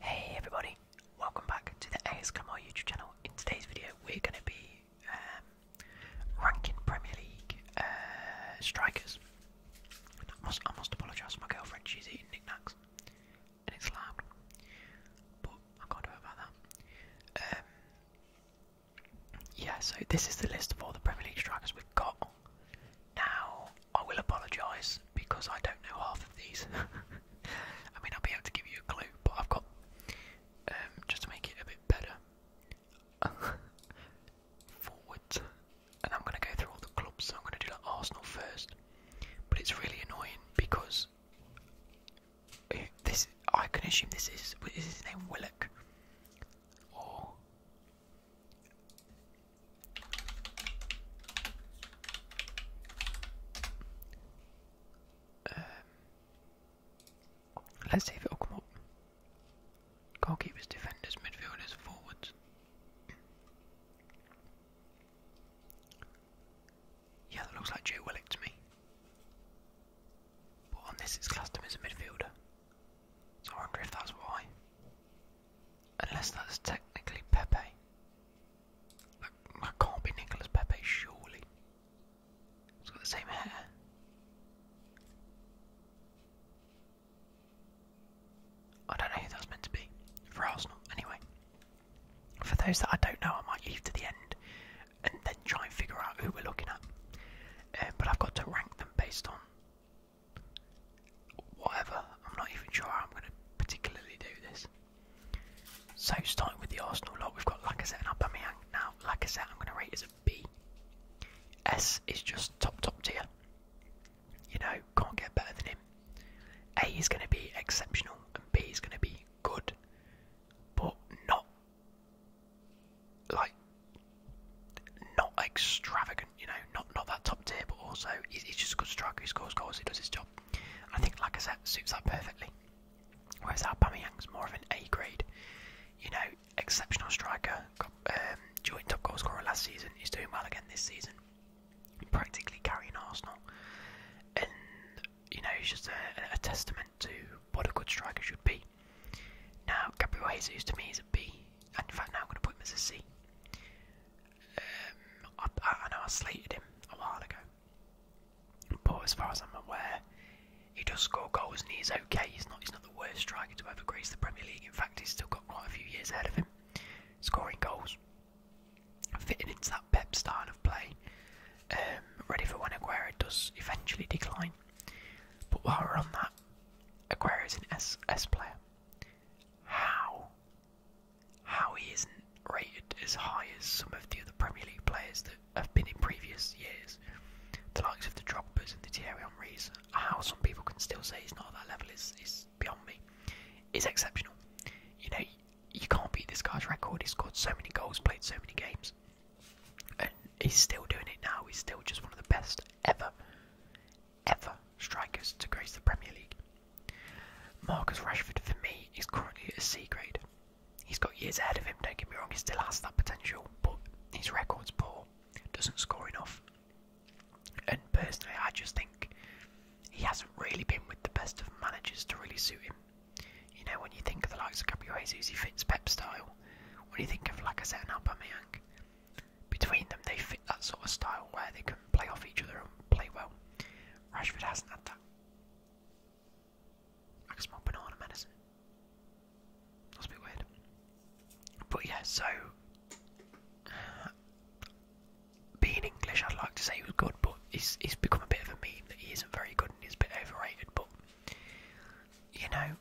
Hey everybody, welcome back to the ASMR YouTube channel. In today's video, we're going to be um, ranking Premier League uh, strikers. I must, apologise to my girlfriend, she's eating knickknacks and it's loud. But I can't do about that. Um, yeah, so this is the list of all the Premier League strikers we've got. Now, I will apologise because I don't know half of these. I mean, I'll be able to give you a clue, but I've got, um, just to make it a bit better, forwards. And I'm going to go through all the clubs, so I'm going to do like Arsenal first. But it's really annoying because this I can assume this is is his name Willock um, let's see if it'll come up. Goalkeepers, defenders, midfielders, forwards. Yeah, that looks like Joe Willock to me. But on this, it's classed him as a midfielder. So I wonder if that's why. Unless that's technically Pepe. That, can't be Nicholas Pepe, surely. it has got the same hair. I don't know who that's meant to be. For Arsenal, anyway. For those that I don't know, I might leave to the end and then try and figure out who we're looking at. Uh, but I've got to rank them based on whatever. I'm not even sure how I'm going to particularly do this. So, starting with the Arsenal lot, we've got Lacazette and Aubameyang. Now, Lacazette I'm going to rate as a B. S is just top, top tier. You know, can't get better than him. A is going to be exceptional, and B is going to be good but not like not extravagant, you know, not not that top tier, but also he's, just a good striker. He scores goals, he does his job. I think like I said, suits that perfectly. Whereas our Aubameyang's more of an A grade, you know, exceptional striker. Got, um, joint top goalscorer last season. He's doing well again this season. Practically carrying Arsenal, and you know, he's just a, testament to what a good striker should be. Now, Gabriel Jesus to me is a B, and in fact, now I'm going to put him as a C. Um, I know I slated him a while ago, but as far as I'm aware, he does score goals and he's okay. He's not he's not the worst striker to ever grace the Premier League. In fact, he's still got quite a few years ahead of him, scoring goals fitting into that Pep style of play, um, ready for when Aguero does eventually decline. But while we're on that, Aguero is an S S player. How? How he isn't rated as high as some of the other Premier League players that have been in previous years, the likes of the Drogba's and the Thierry Henry's. How some people can still say he's not at that level is is beyond me. Is exceptional. You know, you can't beat this guy's record. He's scored so many goals, played so many games, and he's still doing it now. He's still just one of the best ever, ever strikers to grace the Premier League. Marcus Rashford, for me, is currently at a C grade. He's got years ahead of him. Don't get me wrong; he still has that potential, but his record's poor. Doesn't score enough. And personally, I just think he hasn't really been with the best of managers to really suit him. You know, when you think of the likes of Gabriel Jesus, he fits Pep style. When you think of Lacazette and Aubameyang, between them they fit that sort of style where they can play off each other and play well. Rashford hasn't had that. I can smell banana medicine. That's a bit weird. But yeah, so uh, being English, I'd like to say he was good, but it's, it's become a bit of a meme that he isn't very good is a bit overrated, but you know,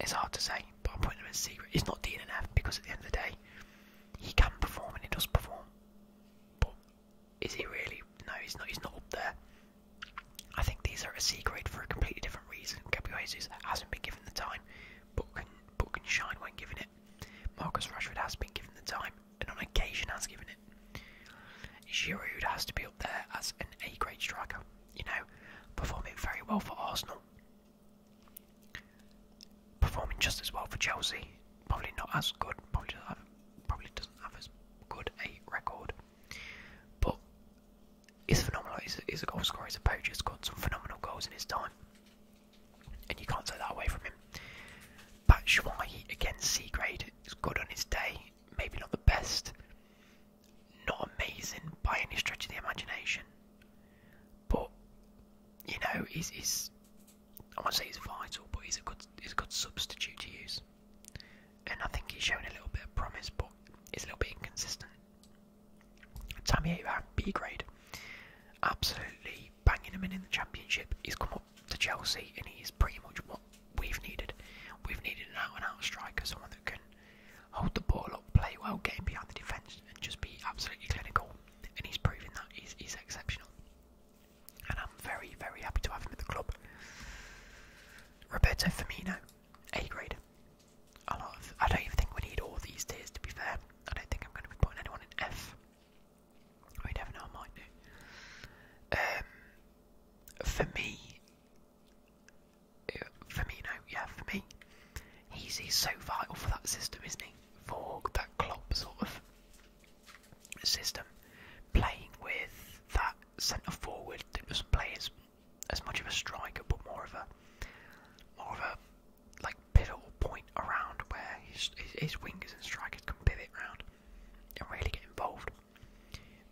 it's hard to say. But I'm putting him in secret. It's not Dean and F because at the end of the day, he can perform and he does perform. But is he really? No, he's not. He's not up there. I think these are a C grade for a completely different reason. Gabriel Jesus hasn't been given the time, but can but can shine when given Marcus Rashford has been given the time, and on occasion has given it. Giroud has to be up there as an A-grade striker, you know, performing very well for Arsenal. Performing just as well for Chelsea, probably not as good, probably doesn't have, probably doesn't have as good a record. But he's phenomenal, he's a, goal scorer, he's a poacher, He's got some phenomenal goals in his time and you can't take that away from him. Batshuayi again, C grade. It's good on his day, maybe not the best, not amazing by any stretch of the imagination, but you know, he's, I won't say he's vital, but he's a good he's a good substitute to use, and I think he's shown a little bit of promise, but he's a little bit inconsistent. Tammy Abraham, B grade, absolutely banging him in in the championship. He's come up to Chelsea, and he's pretty much what we've needed. We've needed an out and out striker, someone that can hold the ball up, play well, get behind the defence, and just be absolutely clinical. And he's proving that he's, exceptional. And I'm very, very happy to have him at the club. Roberto Firmino, A grade. A lot I don't even think we need all these tiers to be fair. I don't think I'm going to be putting anyone in F. We never know, I might do. Um, for me, uh, for me, no, yeah, for me, he's, he's so vital for that system, isn't he? For that Klopp sort of system, playing with that centre forward that doesn't play as as much of a striker, but more of a more of a like pivotal point around where his, his, wingers and strikers can pivot around and really get involved.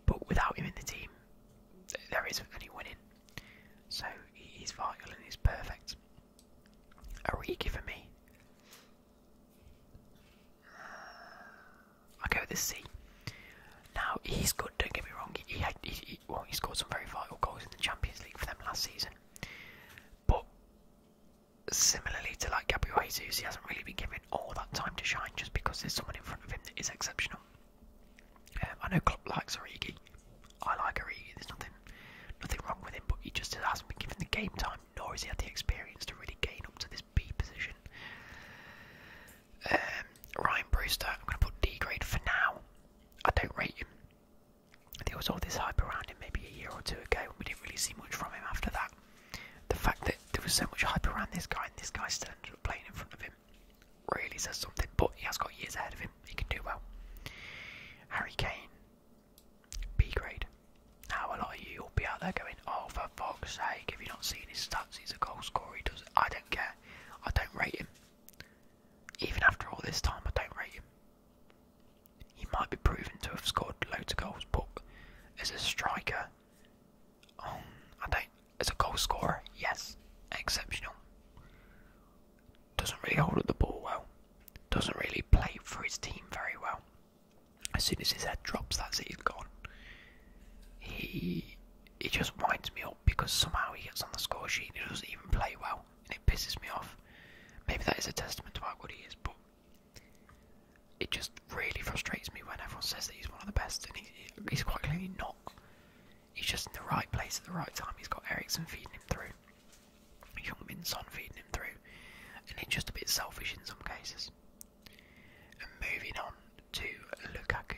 But without him in the team, there isn't any winning. So he's vital and he's perfect. Are Origi for me. I go with the C. Now he's good. Don't get me wrong. He, he, he well, he scored some very vital goals in the Champions League for them last season. But similarly to like Gabriel Jesus, he hasn't really been given all that time to shine just because there's someone in front of him that is exceptional. Um, I know Klopp likes Origi. I like Origi. There's nothing, nothing wrong with him, but he just hasn't been given the game time, nor has he had the experience to really gain up to this B position. Um, Ryan Brewster, I'm going to put D grade for now. I don't rate him. There was all this hype around him maybe a year or two ago. and We didn't really see much from him after that. The fact that there was so much hype around this guy and this guy still ended up playing in front of him really says something, but he has got years ahead of him. He can do well. Harry Kane, B grade. Now, a lot of you will be out there going, oh, for fuck's sake, If you not seen his stats? He's a goalscorer. He does I don't care. I don't rate him. Even after all this time, I don't rate him he might be proven to have scored loads of goals, but as a striker, um, I don't. As a goal scorer, yes, exceptional. Doesn't really hold up the ball well. Doesn't really play for his team very well. As soon as his head drops, that's it. He's gone. He he just winds me up because somehow he gets on the score sheet and he doesn't even play well, and it pisses me off. Maybe that is a testament to how good he is, but it just really frustrates me when everyone says that he's one of the best, and he's quite clearly not. He's just in the right place at the right time. He's got Ericsson feeding him through, Young Son feeding him through, and he's just a bit selfish in some cases. And moving on to Lukaku.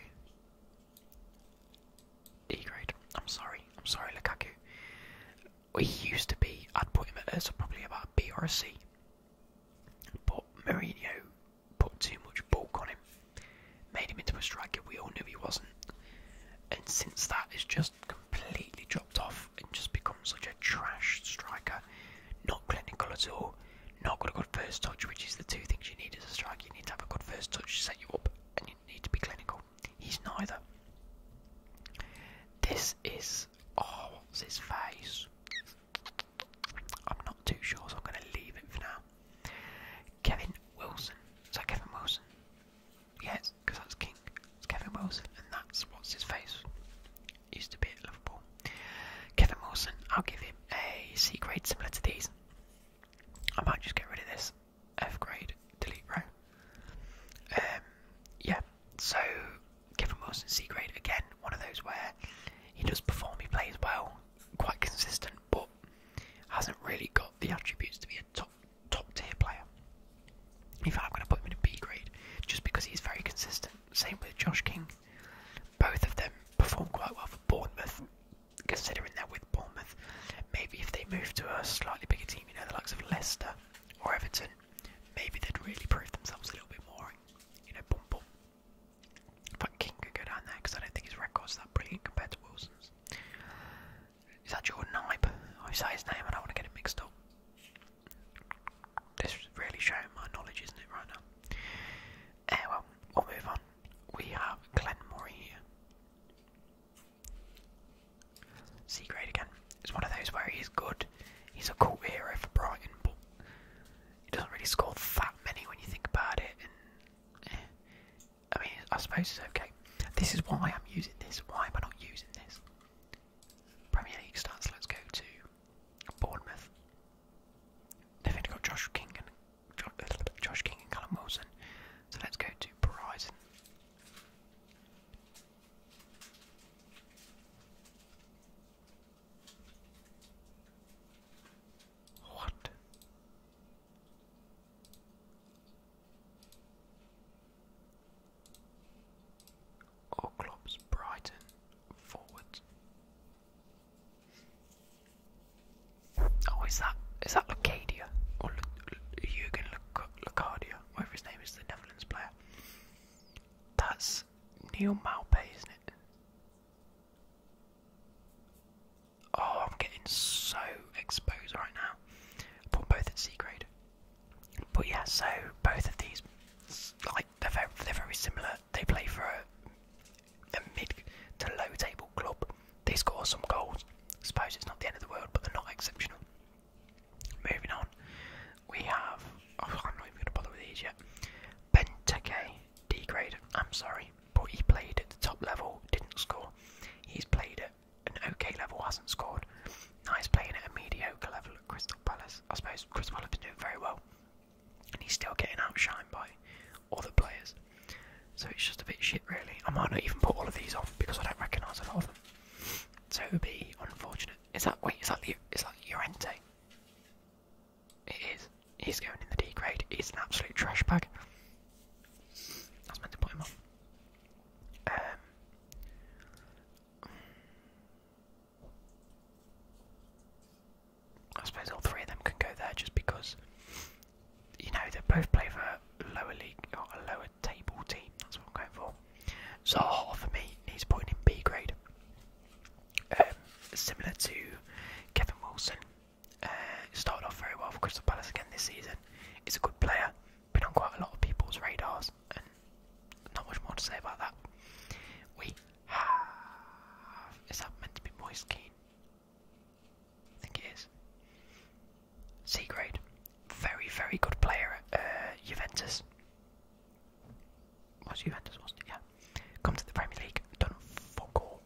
D grade. I'm sorry. I'm sorry, Lukaku well, he used to be, I'd put him at probably about a B or a C. But Mourinho put too much bulk on him, made him into a striker we all knew he wasn't. And since that, it's just completely dropped off and just become such a trash striker. Not clinical at all, not got a good first touch, which is the two things you need as a striker. You need to have a good first touch to set you up, and you need to be clinical. He's neither. This is Oh, what's his face? I'm not too sure, so I'm going to leave it for now. Kevin Wilson. Is that Kevin Wilson? Yes, because that's King. It's Kevin Wilson, and that's what's his face. Used to be at Liverpool. Kevin Wilson, I'll give him a C grade similar to these. I might just get rid of this. F grade, delete row. Um, yeah, so Kevin Wilson C grade again, one of those where he does perform, he plays well, quite consistent, but hasn't really got the attributes to be a top top tier player. In fact, I'm going to put him in a B grade just because he's very consistent. Same with Josh King. Both of them perform quite well for Bournemouth, considering that with Bournemouth. Maybe if they move to a slightly bigger team, you know, the likes of Leicester or Everton, maybe they'd really prove themselves a little bit more you know, bump up that King could go down there because I don't think his record's that brilliant compared to Wilson's. Is that your Ibe? I say his name and I want to get it mixed up. This is really showing my knowledge, isn't it, right now? well, we'll move on. We have Glenn Murray here. C grade again. It's one of those where he's good, he's a cool hero for Brighton, but he doesn't really score that many when you think about it. Eh, I mean, I suppose it's okay. This is why I'm using this. Why am I not using this? Premier League stats. Let's go to Bournemouth. They've only got Josh King and Josh King and Callum Wilson. So let's go to Brighton. What? Oklop's Brighton forward. Oh, is that is that Lucadia or Jurgen Lucadia, whatever his name is, the Netherlands player? That's Neil Malpay, isn't it? Oh, I'm getting so exposed right now. both at C grade. But yeah, so both of these, like they're very, they're very similar. They play for a, mid to low table club. They score some goals. I suppose it's not the end of the world, but they're not exceptional. Moving on, we have. Oh, I'm not even going to bother with these yet. Benteke, D grade. I'm sorry, but he played at the top level, didn't score. He's played at an okay level, hasn't scored. Now he's playing at a mediocre level at Crystal Palace. I suppose Crystal Palace been doing very well, and he's still getting outshined by other players. So it's just a bit shit, really. I might not even put all of these on because I don't recognise a lot of them. So be unfortunate. Is that wait? Is that the, is that Llorente? It is. He's going in the D grade. He's an absolute trash bag. I meant to put him on. Um, I suppose all three of them can go there just because, you know, they both play for lower league or a lower table team. That's what I'm going for. So for me, he's putting in B grade. Um, similar to Kevin Wilson. Uh, started off very well for Crystal Palace again this season. He's a good player, been on quite a lot of people's radars, and not much more to say about that. We have. Is that meant to be Moise I think it is. C grade. Very, very good player at uh, Juventus was Juventus, Yeah. Come to the Premier League, done fuck all.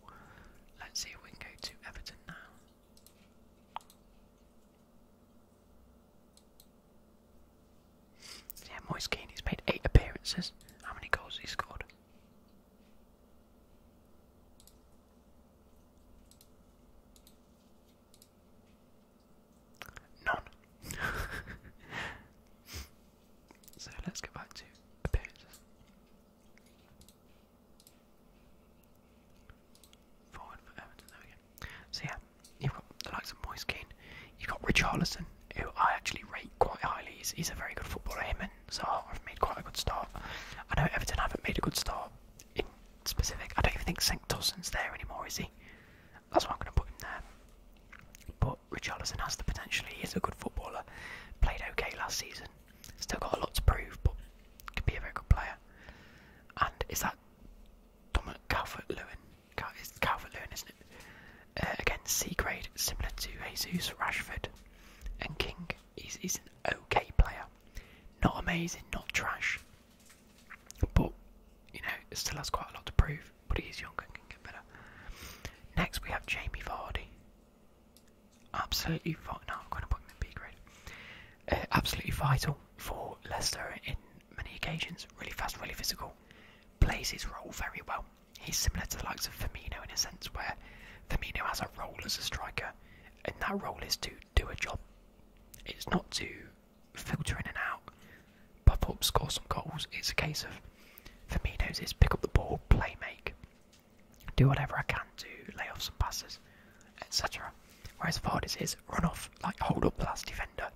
Let's see if we can go to Everton now. Yeah, Moise Keane, made eight appearances. How many goals he scored? None. so let's go back to appearances. Forward for Everton, there So yeah, you've got the likes of Moise Keane, you've got Richarlison, who I actually rate quite highly. He's, a very good footballer, him and i have made quite a good start. I know Everton haven't made a good start in specific. I don't even think St. Dawson's there anymore, is he? That's why I'm going to put him there. But Richarlison has the potential. He is a good footballer. Played okay last season. Still got a lot to prove, but can be a very good player. And is that Dominic Calvert Lewin? Cal it's Calvert Lewin, isn't it? Uh, again, C grade, similar to Jesus, Rashford, and King. is he's an okay player. Not amazing, not trash. But, you know, still has quite a lot to prove but he is young and can get better. Next, we have Jamie Vardy. Absolutely vital. I'm going to put him in B grade. Uh, absolutely vital for Leicester in many occasions. Really fast, really physical. Plays his role very well. He's similar to the likes of Firmino in a sense where Firmino has a role as a striker, and that role is to do a job. It's not to filter in and out pop up, score some goals. It's a case of Firmino's is pick up the ball, play make, do whatever I can do, lay off some passes, etc. Whereas Vardy's is run off, like hold up the last defender,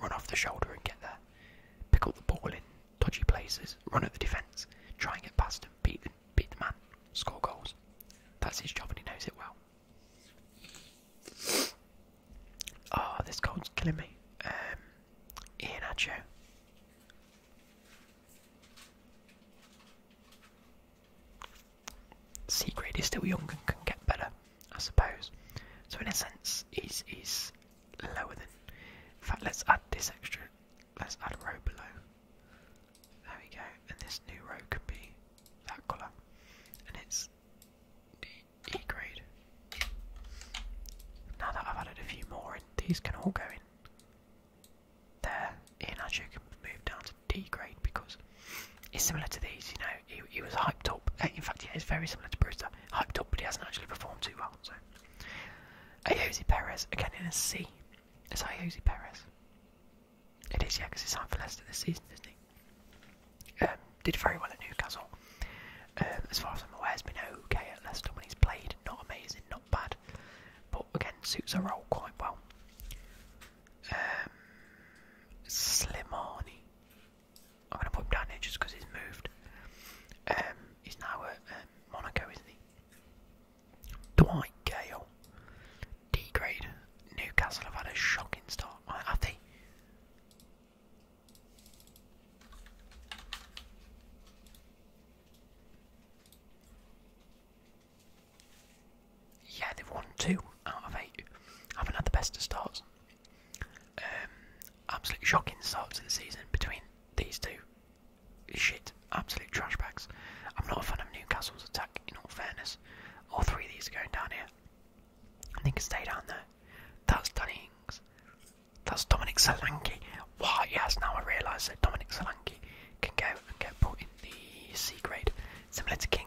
run off the shoulder and get there, pick up the ball in dodgy places, run at the defence, try and get past him, beat the, beat the man, score goals. That's his job and he knows it well. Oh, this cold's killing me. Um, Ian Adjo. C grade is still young and can get better, I suppose. So in a sense, he's he's lower than. In fact, let's add this extra. Let's add a row below. There we go. And this new row can be that colour, and it's E grade. Now that I've added a few more in, these can all go in there. And as you can move down to D grade because it's similar to these, you know, he, he was hyped up. Uh, in fact, yeah, it's very similar to Brewster. Hyped up, but he hasn't actually performed too well. So, Ayoze Perez, again in a C. It's Ayoze Perez. It is, yeah, because he signed for Leicester this season, isn't he? Um, did very well at Newcastle. Um, as far as I'm aware, has been okay at Leicester when he's played. Not amazing, not bad, but again suits her role quite well. Um, Slimani. I'm going to put him down here just because he's moved. Um, he's now at um, Monaco, isn't he? Dwight Gale. D grade. Newcastle have had a shocking start. I, have yeah, they've won two out of eight. Haven't had the best of starts. Um, absolute shocking start to the season between these two. Shit, absolute trash bags. I'm not a fan of Newcastle's attack, in all fairness. All three of these are going down here. I think can stay down there. That's Danny Ings. That's Dominic Solanke. Why? yes, now I realise that Dominic Solanke can go and get put in the C grade, similar to King.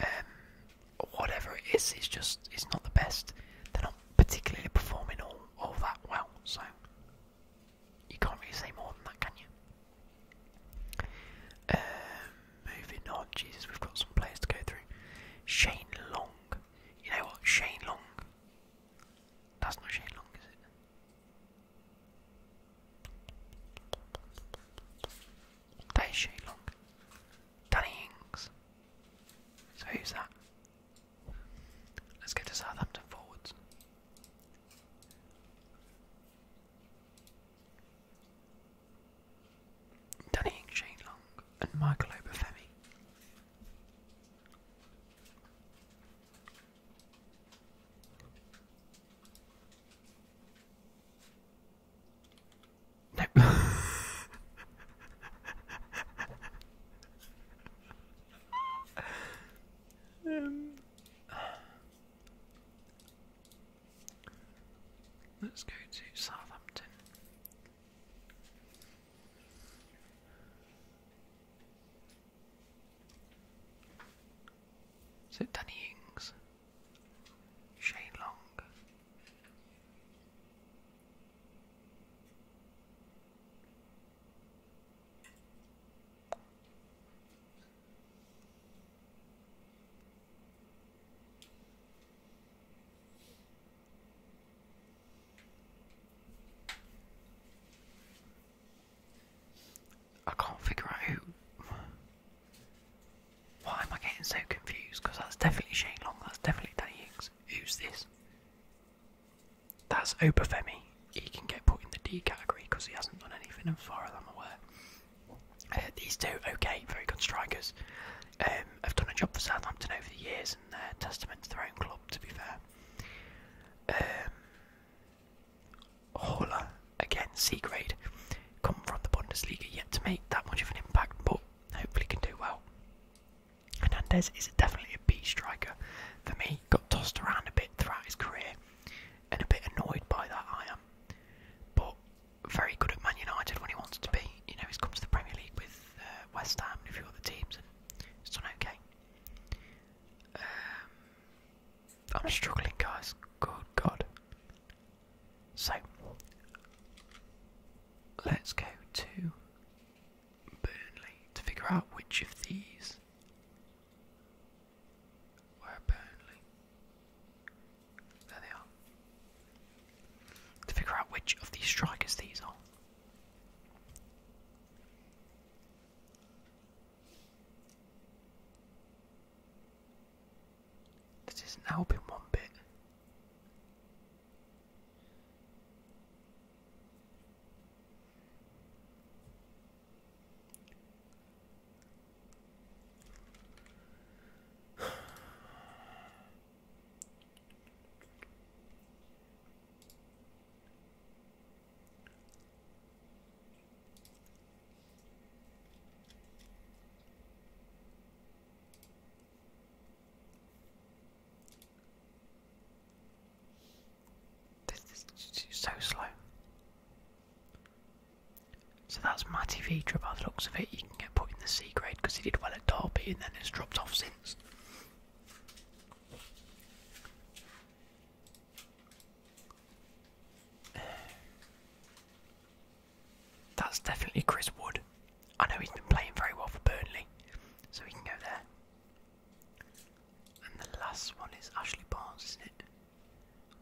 Um, whatever it is, it's just it's not the best. They're not particularly performing all all that well, so you can't really say more than that, can you? Um, moving on, Jesus, we've got some players to go through. Shane Long you know what? Shane Long. That's not Shane Long, is it? That is Shane Long. Danny Ings. So who's that? Let's go to Southampton forwards. Danny Ings, Shane Long, and Michael Obafemi let's go to Southampton. Is it Danny Ings? Shane Long? I can't figure out who. Why am I getting so confused? Because that's definitely Shane Long, that's definitely Danny Higgs. Who's this? That's Obafemi. He can get put in the D category because he hasn't done anything as far as I'm aware. Uh, these two, okay, very good strikers. Um, have done a job for Southampton over the years uh, testament to their own club, to be fair. Um, again, C grade, come from the Bundesliga, yet to make that much of an impact, but hopefully can do well. Hernandez is definitely a B striker. For me, got tossed around a bit throughout his career, and a bit annoyed by that I am. But very good at Man United when he wants to be. You know, he's come to the Premier League with uh, West Ham and a few other teams, and it's done okay. Um, I'm struggling, guys. Good God. So, let's go to Burnley to figure out which of these were Burnley. There they are. To figure out which of these strikers these are. This isn't helping one bit. This is so slow. So that's Matty Vidra by the looks of it. You can get put in the C grade because he did well at Derby and then it's dropped off since. That's definitely Chris Wood. I know he's been playing very well for Burnley, so we can go there. And the last one is Ashley Barnes, isn't it?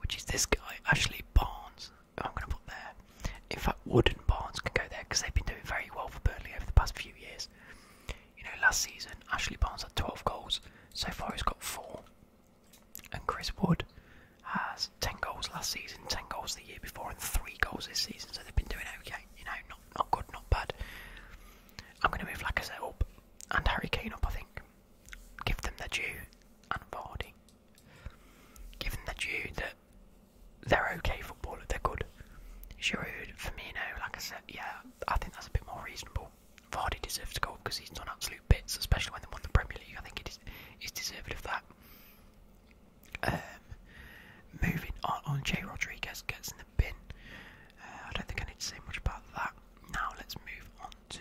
Which is this guy, Ashley Barnes. Oh, I'm going to put there. In fact, Wood and Barnes can go there because they've been doing very well for Burnley over the past few years. You know, last season, Ashley Barnes had 12 goals. So far, he's got four. And Chris Wood has 10 goals last season, 10 goals the year before, and three goals this season. So they've been doing okay. You know, not, not good, not bad. I'm going to move Lacazette up and Harry Kane up, I think. Give them their due and Vardy. Give them their due that they're okay footballers, they're good. Giroud, Firmino, like I said, yeah, I think that's a bit more reasonable. Vardy deserves to go because he's done absolute bits, especially when they won the Premier League. I think it is he's deserved of that. Um, moving on, on oh, Jay Rodriguez gets in the bin. Uh, I don't think I need to say much about that. Now let's move on to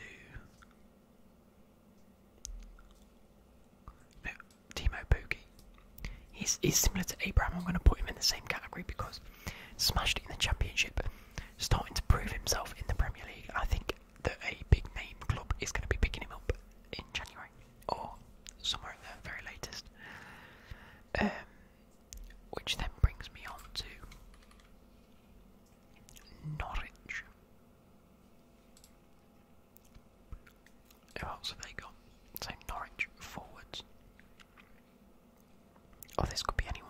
Timo Pukki. He's, similar to Abraham. I'm going to put him in the same category because smashed it in the championship, starting to prove himself in the Premier League. I think that a big name club is going to be picking him up in January or somewhere at the very latest. Um, which then brings me on to Norwich. Who else have they got? So Norwich forwards. Oh, this could be anyone.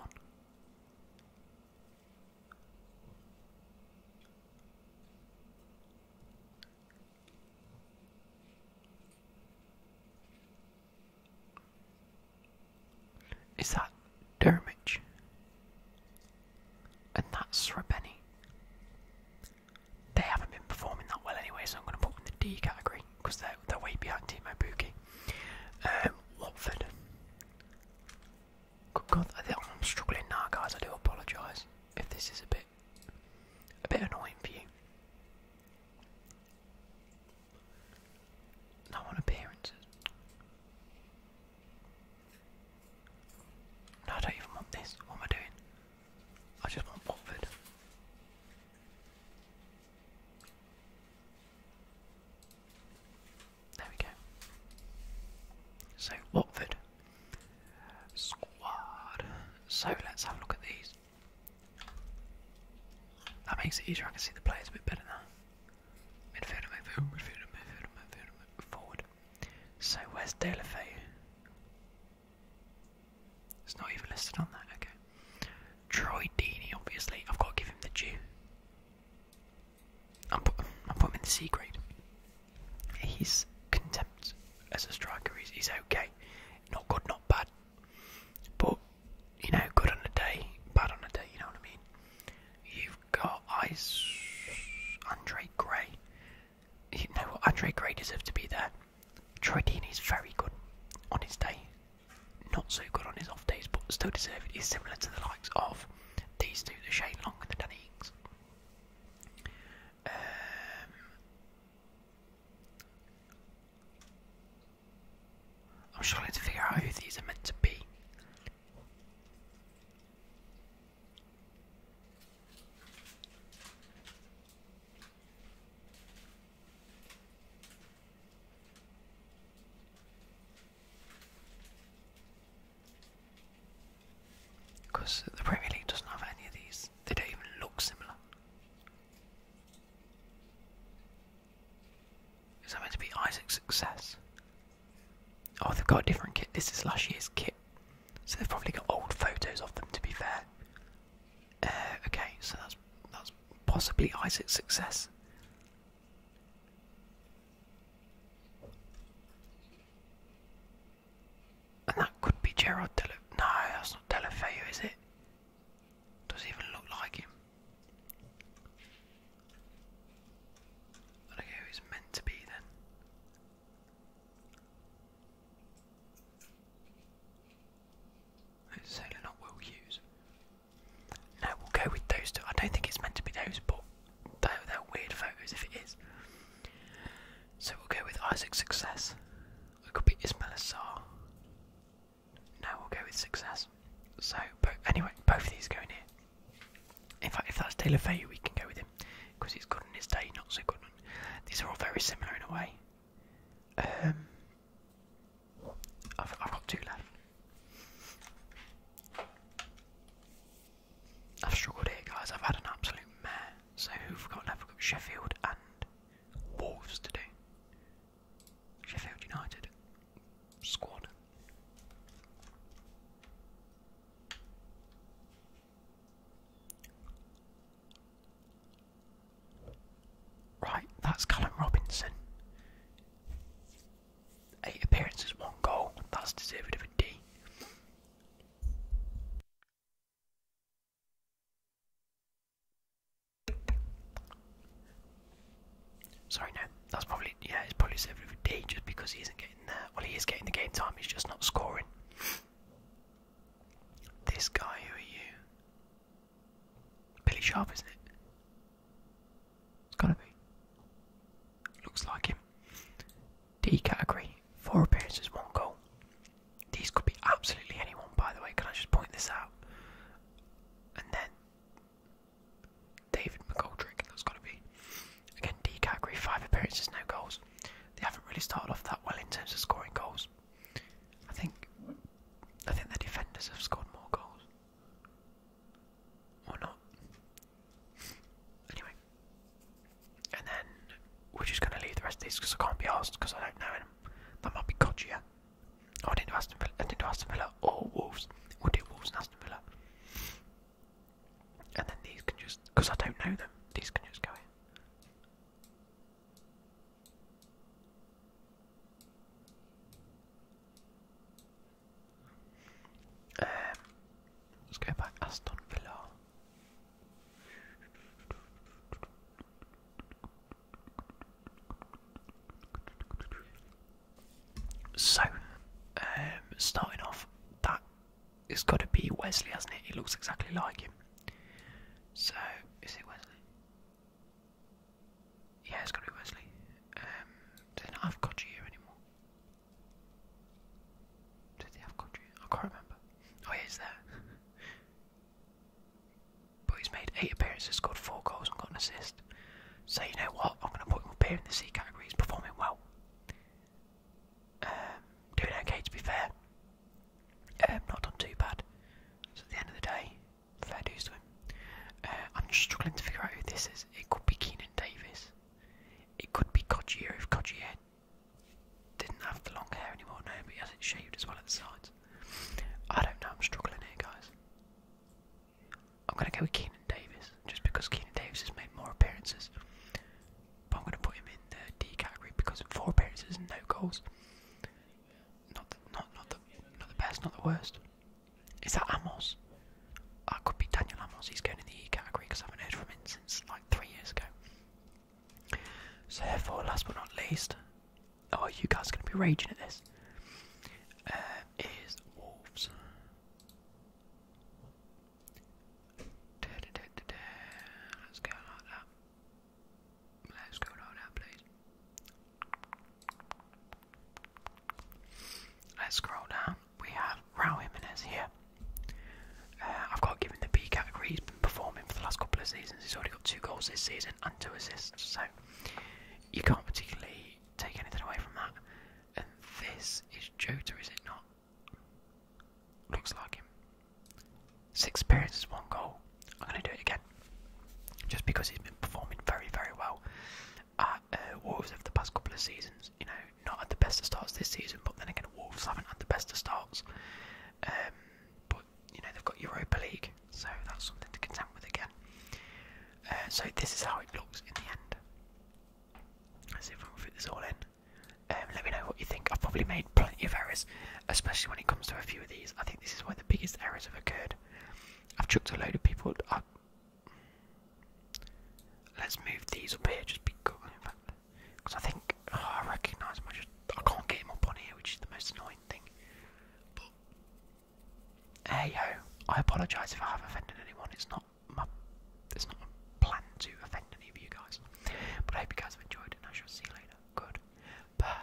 Is that Dermage? And that's Srebenny they haven't been performing that well anyway, so I'm going to put them in the D category because they're, they're way behind Timo Buki. Um, Watford. Good God, I'm struggling now, guys. I do apologise if this is a bit a bit annoying for you. No one appearances. No, I don't even want this. What am I doing? I just want Watford. There we go. So Watford squad. So let's have a look at these. That makes it easier. I can see the players a bit better now. Midfield, midfield, midfield, midfield, forward. So where's Delafay? It's not even listed on that, okay. Troy Deeney, obviously. I've got to give him the due. I'm put, him in the C grade. He's contempt as a striker. He's, okay. Not good, not bad. But, you know, good on a day, bad on a day, you know what I mean? You've got eyes, Andre Gray. You know what? Andre Gray deserves to be there. Troy Deeney is very good on his day, not so good on his off days, but still deserved. He's similar to the likes of these two, the Shane Long and the Danny Ings. Um, I'm struggling to figure out who these are meant to be. Because the Premier League doesn't have any of these, they don't even look similar. Is that meant to be Isaac's success? Oh, they've got a different kit. This is last year's kit. So they've probably got old photos of them, to be fair. Uh, okay, so that's that's possibly Isaac's success. And that could be Gerard Dele. No, that's not Delafeu, is it? Doesn't even look like him. I don't know who meant to be then. Certainly not Will Hughes. No, we'll go with those two. I don't think it's meant to be those, but they're, weird photos if it is. So we'll go with Isaac Success. It could be Ismail Assar. No, we'll go with Success. So, but anyway, both of these go in here. In fact, if that's Taylor Faye, we can go with him because he's good on his day, not so good on. These are all very similar in a way. Um, I've, i got two left. I've struggled here, guys. I've had an absolute mare. So who've got left? We've got Sheffield and Wolves to do. Sheffield United squad. Right, that's Colin Robinson. Eight appearances, one goal. That's deserved of a D. Sorry, no. That's probably yeah. It's probably deserved of a D just because he isn't getting there. Well, he is getting the game time. He's just not scoring. This guy, who are you? Billy Sharp, isn't it? It's gotta be. Looks like him. D category, four appearances, one goal. These could be absolutely anyone, by the way. Can I just point this out? And then David McGoldrick, that's got to be. Again, D category, five appearances, no goals. They haven't really started off that well in terms of scoring goals. I think I think the defenders have scored more goals. Or not. Anyway. And then we're just going to leave the rest of these because I can't be asked because I don't know them. That might be Codgia. Oh, I didn't do Aston Villa. I didn't do Aston Villa or Wolves. We'll Wolves and Aston Villa. And then these can just, because I don't know them, these can just go in. Um, ehm, let Aston Villa. So, ehm, starting off, that has got to be Wesley, hasn't it? He looks exactly like him. So, is it Wesley? Yeah, it's gotta be Wesley. Um, do they not have here anymore? Did they have Codger? I can't remember. Oh, yeah, he's there. but he's made eight appearances, scored four goals, and got an assist. So you know what? I'm gonna put him up here in the C category. He's performing well. Um, doing okay to be fair. Um, not done too bad. So at the end of the day, fair dues to him. Uh, I'm struggling to figure out who this is. It could be Keenan Davis. It could be Codgier if Codgier didn't have the long hair anymore. No, but he has it shaved as well at the sides. I don't know. I'm struggling here, guys. I'm going to go with Keenan Davis just because Keenan Davis has made more appearances. But I'm going to put him in the D category because four appearances and no goals. Not the, not not the not the best, not the worst. Is that Amos? I could be Daniel Amos. He's going in the E category because I haven't heard from him since like three years ago. So therefore, last but not least, oh, you guys are going to be raging at this. Uh, is Wolves. Let's go like that. Let's go down that Let's scroll down. We have Raul Jimenez here. Uh, I've got to give the B category. He's been performing for the last couple of seasons. He's already got two goals this season and two assists. So you can't particularly take anything away from that. And this is Jota, is it not? Looks like him. Six appearances, one goal. I'm going to do it again. Just because he's been performing very, very well at uh, Wolves over the past couple of seasons. You know, not at the best of starts this season, but then again, Wolves haven't had the best of starts. Um, but, you know, they've got Europa League, so that's something to contend with again. Uh, so this is how it looks in the end. Let's see if we can fit this all in. Um, let me know what you think. I've probably made plenty of errors, especially when it comes to a few of these. I think this is one of the biggest errors have occurred. I've chucked a load of people up. Let's move these up here just because I think oh, I recognise them. I just I can't get them up which is the most annoying thing. hey ho, I apologise if I have offended anyone. It's not my it's not my plan to offend any of you guys. But I hope you guys have enjoyed, and I shall see you later. Good.